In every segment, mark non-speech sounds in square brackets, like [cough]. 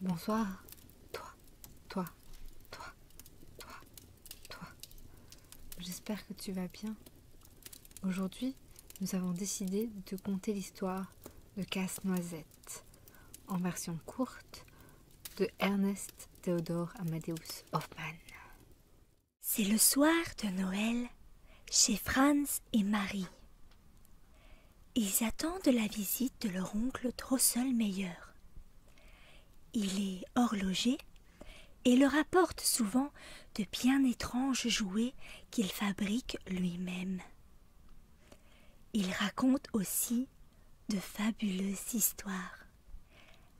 Bonsoir. Toi, toi, toi, toi, toi. J'espère que tu vas bien. Aujourd'hui, nous avons décidé de te conter l'histoire de Casse-Noisette en version courte de Ernest Theodore Amadeus Hoffmann. C'est le soir de Noël chez Franz et Marie. Ils attendent la visite de leur oncle Meilleur. Il est horloger et leur apporte souvent de bien étranges jouets qu'il fabrique lui-même. Il raconte aussi de fabuleuses histoires.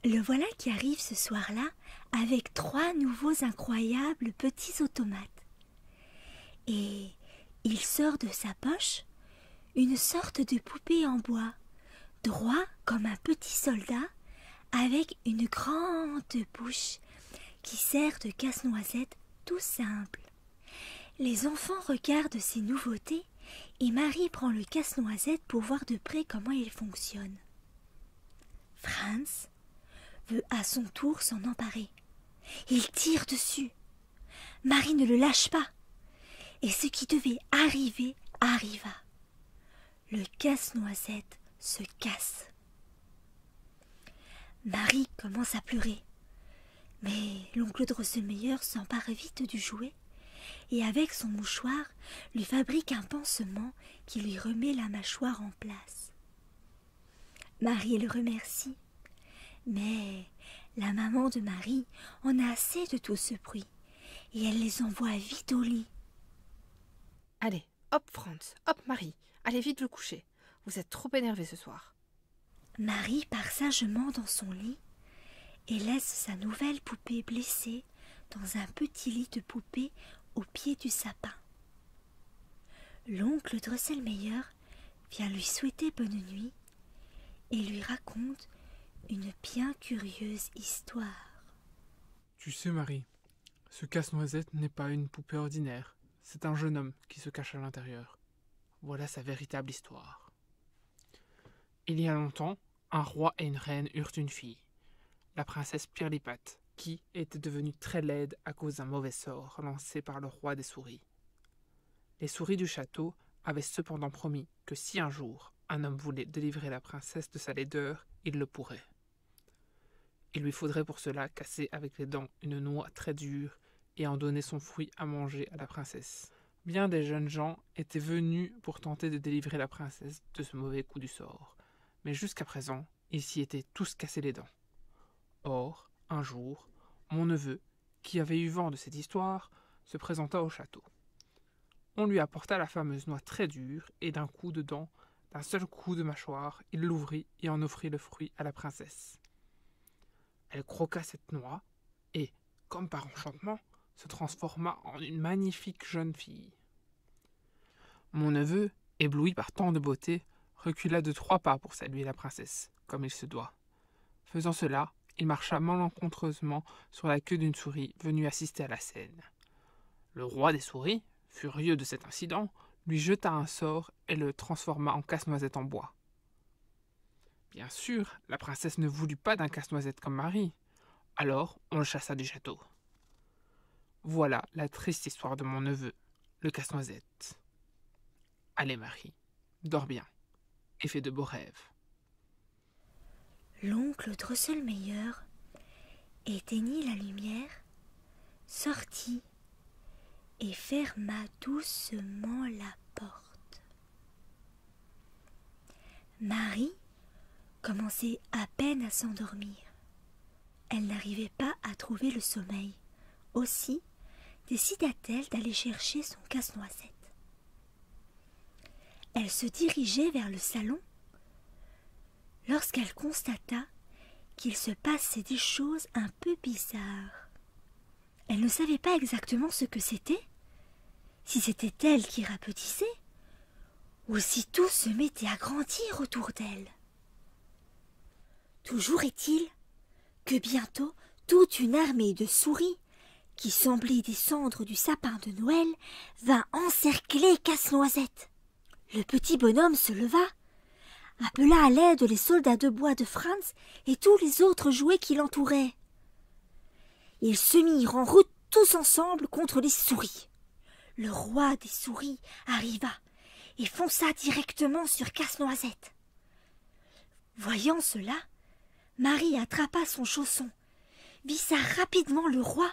Le voilà qui arrive ce soir-là avec trois nouveaux incroyables petits automates. Et il sort de sa poche une sorte de poupée en bois, droit comme un petit soldat, avec une grande bouche qui sert de casse-noisette tout simple. Les enfants regardent ces nouveautés et Marie prend le casse-noisette pour voir de près comment il fonctionne. Franz veut à son tour s'en emparer. Il tire dessus. Marie ne le lâche pas. Et ce qui devait arriver arriva. Le casse-noisette se casse. Marie commence à pleurer. Mais l'oncle Drosselmeyer s'empare vite du jouet et avec son mouchoir lui fabrique un pansement qui lui remet la mâchoire en place. Marie le remercie, mais la maman de Marie en a assez de tout ce bruit, et elle les envoie vite au lit. Allez, hop Franz, hop Marie, allez vite le coucher. Vous êtes trop énervée ce soir. Marie part sagement dans son lit, et laisse sa nouvelle poupée blessée dans un petit lit de poupée au pied du sapin. L'oncle Dresselmeyer vient lui souhaiter bonne nuit et lui raconte une bien curieuse histoire. Tu sais, Marie, ce casse-noisette n'est pas une poupée ordinaire, c'est un jeune homme qui se cache à l'intérieur. Voilà sa véritable histoire. Il y a longtemps, un roi et une reine eurent une fille, la princesse Pirlipate, qui était devenue très laide à cause d'un mauvais sort lancé par le roi des souris. Les souris du château avaient cependant promis que si un jour un homme voulait délivrer la princesse de sa laideur, il le pourrait. Il lui faudrait pour cela casser avec les dents une noix très dure et en donner son fruit à manger à la princesse bien des jeunes gens étaient venus pour tenter de délivrer la princesse de ce mauvais coup du sort, mais jusqu'à présent, ils s'y étaient tous cassés les dents. Or, un jour, mon neveu, qui avait eu vent de cette histoire, se présenta au château. On lui apporta la fameuse noix très dure, et d'un coup de dent, d'un seul coup de mâchoire, il l'ouvrit et en offrit le fruit à la princesse. Elle croqua cette noix, et, comme par enchantement, se transforma en une magnifique jeune fille. Mon neveu, ébloui par tant de beauté, recula de trois pas pour saluer la princesse, comme il se doit. Faisant cela, il marcha malencontreusement sur la queue d'une souris venue assister à la scène. Le roi des souris, furieux de cet incident, lui jeta un sort et le transforma en casse-noisette en bois. Bien sûr, la princesse ne voulut pas d'un casse-noisette comme Marie, Alors, on le chassa du château. Voilà la triste histoire de mon neveu, le casse-noisette. Allez, Marie, dors bien et fais de beaux rêves. L'oncle meilleur éteignit la lumière, sortit et ferma doucement la porte. Marie commençait à peine à s'endormir. Elle n'arrivait pas à trouver le sommeil. Aussi décida-t-elle d'aller chercher son casse-noisette. Elle se dirigeait vers le salon lorsqu'elle constata qu'il se passait des choses un peu bizarres. Elle ne savait pas exactement ce que c'était, si c'était elle qui rapetissait, ou si tout se mettait à grandir autour d'elle. Toujours est-il que bientôt toute une armée de souris, qui semblait descendre du sapin de Noël, vint encercler Casse-Noisette. Le petit bonhomme se leva, appela à l'aide les soldats de bois de Franz et tous les autres jouets qui l'entouraient. Ils se mirent en route tous ensemble contre les souris. Le roi des souris arriva et fonça directement sur Casse-Noisette. Voyant cela, Marie attrapa son chausson, vissa rapidement le roi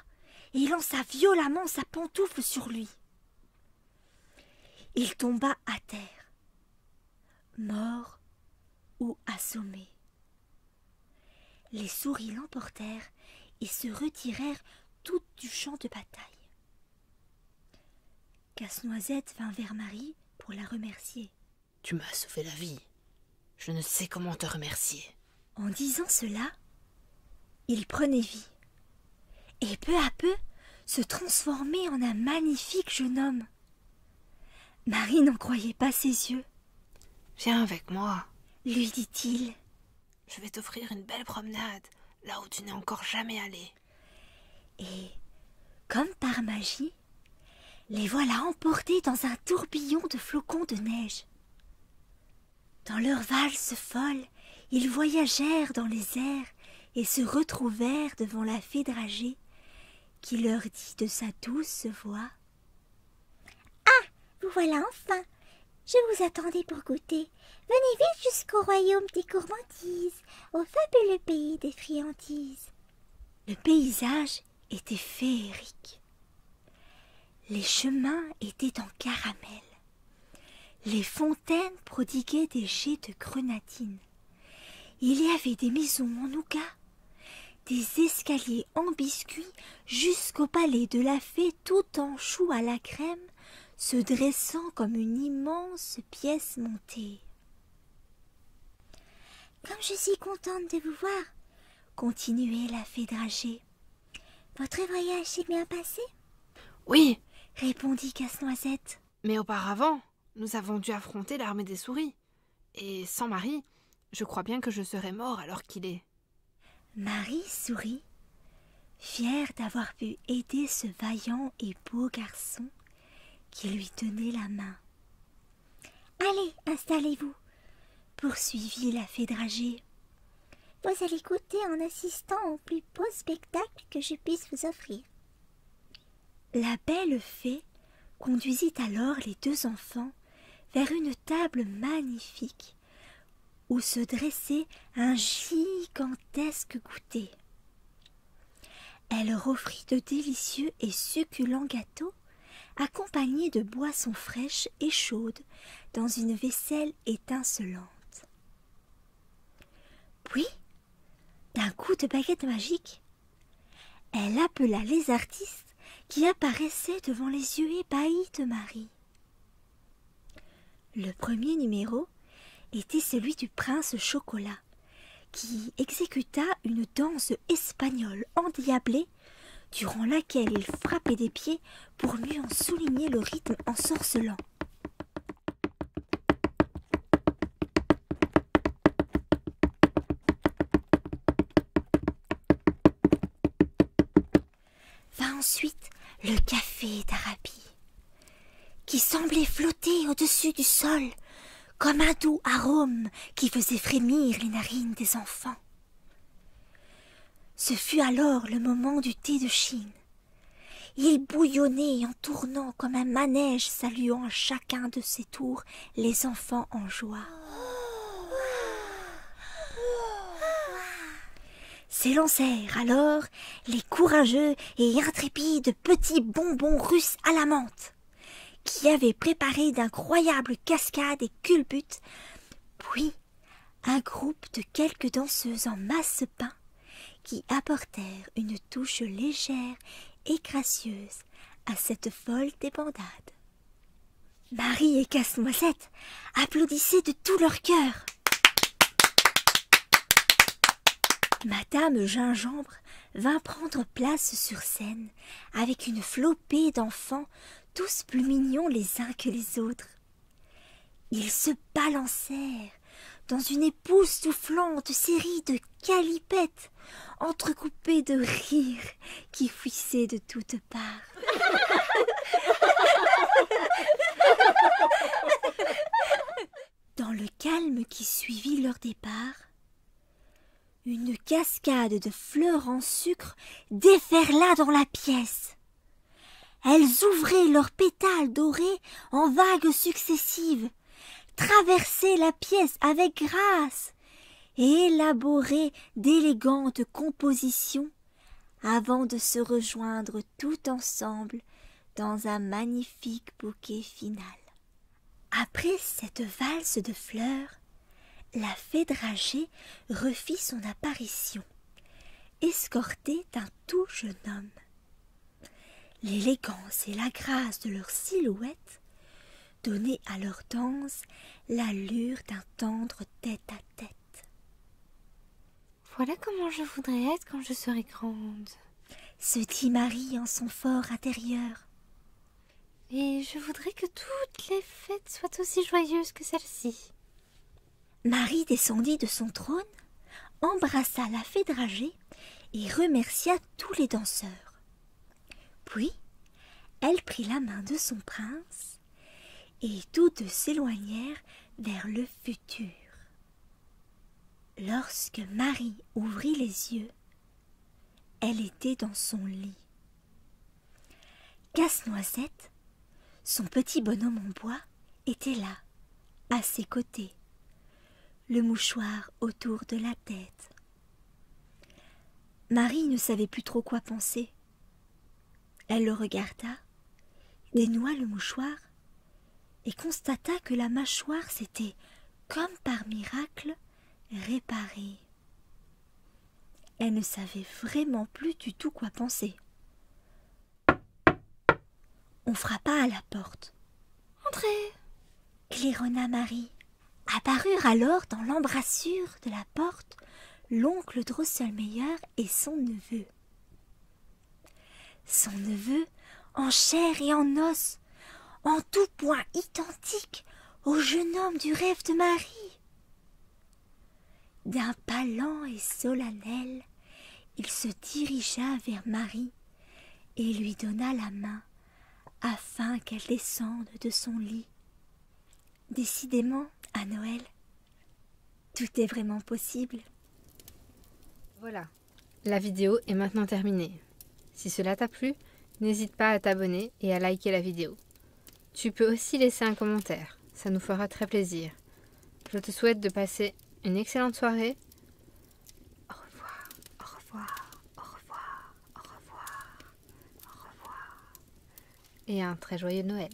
et lança violemment sa pantoufle sur lui. Il tomba à terre, mort ou assommé, Les souris l'emportèrent et se retirèrent toutes du champ de bataille. Casse-noisette vint vers Marie pour la remercier. Tu m'as sauvé la vie. Je ne sais comment te remercier. En disant cela, il prenait vie, et peu à peu se transformait en un magnifique jeune homme. Marie n'en croyait pas ses yeux. Viens avec moi, lui dit-il. Je vais t'offrir une belle promenade, là où tu n'es encore jamais allé Et, comme par magie, les voilà emportés dans un tourbillon de flocons de neige. Dans leur valse folle, ils voyagèrent dans les airs et se retrouvèrent devant la fée dragée, qui leur dit de sa douce voix Ah Vous voilà enfin Je vous attendais pour goûter. Venez vite jusqu'au royaume des gourmandises, au fabuleux pays des friandises. Le paysage était féerique. Les chemins étaient en caramel. Les fontaines prodiguaient des jets de grenadine. Il y avait des maisons en nougat, des escaliers en biscuits jusqu'au palais de la fée tout en chou à la crème, se dressant comme une immense pièce montée. Comme je suis contente de vous voir, continuait la fée dragée. Votre voyage s'est bien passé Oui, répondit Casse-Noisette. Mais auparavant, nous avons dû affronter l'armée des souris. Et sans Marie, je crois bien que je serais mort alors qu'il est. Marie sourit, fière d'avoir pu aider ce vaillant et beau garçon qui lui tenait la main. Allez, installez-vous, poursuivit la fée dragée. Vous allez goûter en assistant au plus beau spectacle que je puisse vous offrir. La belle fée conduisit alors les deux enfants vers une table magnifique où se dressait un gigantesque goûter. Elle leur offrit de délicieux et succulents gâteaux accompagnés de boissons fraîches et chaudes dans une vaisselle étincelante. Puis d'un coup de baguette magique, elle appela les artistes qui apparaissaient devant les yeux ébahis de Marie. Le premier numéro était celui du prince Chocolat, qui exécuta une danse espagnole endiablée durant laquelle il frappait des pieds pour mieux en souligner le rythme ensorcelant. Va ensuite le café d'Arabie, qui semblait flotter au-dessus du sol comme un doux arôme qui faisait frémir les narines des enfants. Ce fut alors le moment du thé de Chine, il bouillonnait en tournant comme un manège, saluant chacun de ses tours les enfants en joie. S'élancèrent alors les courageux et intrépides petits bonbons russes à la menthe, qui avaient préparé d'incroyables cascades et culbutes, puis un groupe de quelques danseuses en masse qui apportèrent une touche légère et gracieuse à cette folle débandade. Marie et Casse-Noisette applaudissaient de tout leur cœur. Madame Gingembre vint prendre place sur scène avec une flopée d'enfants tous plus mignons les uns que les autres. Ils se balancèrent dans une soufflante série de calipettes entrecoupées de rires qui fuissaient de toutes parts. [laughs] Dans le calme qui suivit leur départ, une cascade de fleurs en sucre déferla dans la pièce. Elles ouvraient leurs pétales dorés en vagues successives, traversaient la pièce avec grâce et élaboraient d'élégantes compositions avant de se rejoindre tout ensemble dans un magnifique bouquet final. Après cette valse de fleurs, la fée dragée refit son apparition, escortée d'un tout jeune homme. L'élégance et la grâce de leurs silhouettes donnaient à leur danse l'allure d'un tendre tête à Tête. Voilà comment je voudrais être quand je serai grande, se dit Marie en son fort intérieur. Et je voudrais que toutes les fêtes soient aussi joyeuses que celle-ci. Marie descendit de son trône, embrassa la fée dragée et remercia tous les danseurs. Puis, elle prit la main de son prince et toutes s'éloignèrent vers le futur. Lorsque Marie ouvrit les yeux, elle était dans son lit. Casse-noisette, son petit bonhomme en bois, était là, à ses côtés, le mouchoir autour de la tête. Marie ne savait plus trop quoi penser. Elle le regarda, dénoua le mouchoir, et constata que la mâchoire s'était, comme par miracle, réparée. Elle ne savait vraiment plus du tout quoi penser. On frappa à la porte. Entrez Claironna Marie. Apparurent alors dans l'embrasure de la porte l'oncle Drosselmeyer et son neveu. Son neveu, en chair et en os, en tout point identique au jeune homme du rêve de Marie. D'un pas lent et solennel, il se dirigea vers Marie et lui donna la main afin qu'elle descende de son lit. Décidément, à Noël, tout est vraiment possible. Voilà, la vidéo est maintenant terminée. Si cela t'a plu, n'hésite pas à t'abonner et à liker la vidéo. Tu peux aussi laisser un commentaire, ça nous fera très plaisir. Je te souhaite de passer une excellente soirée. Au revoir, au revoir, au revoir, au revoir, au revoir. Et un très joyeux Noël.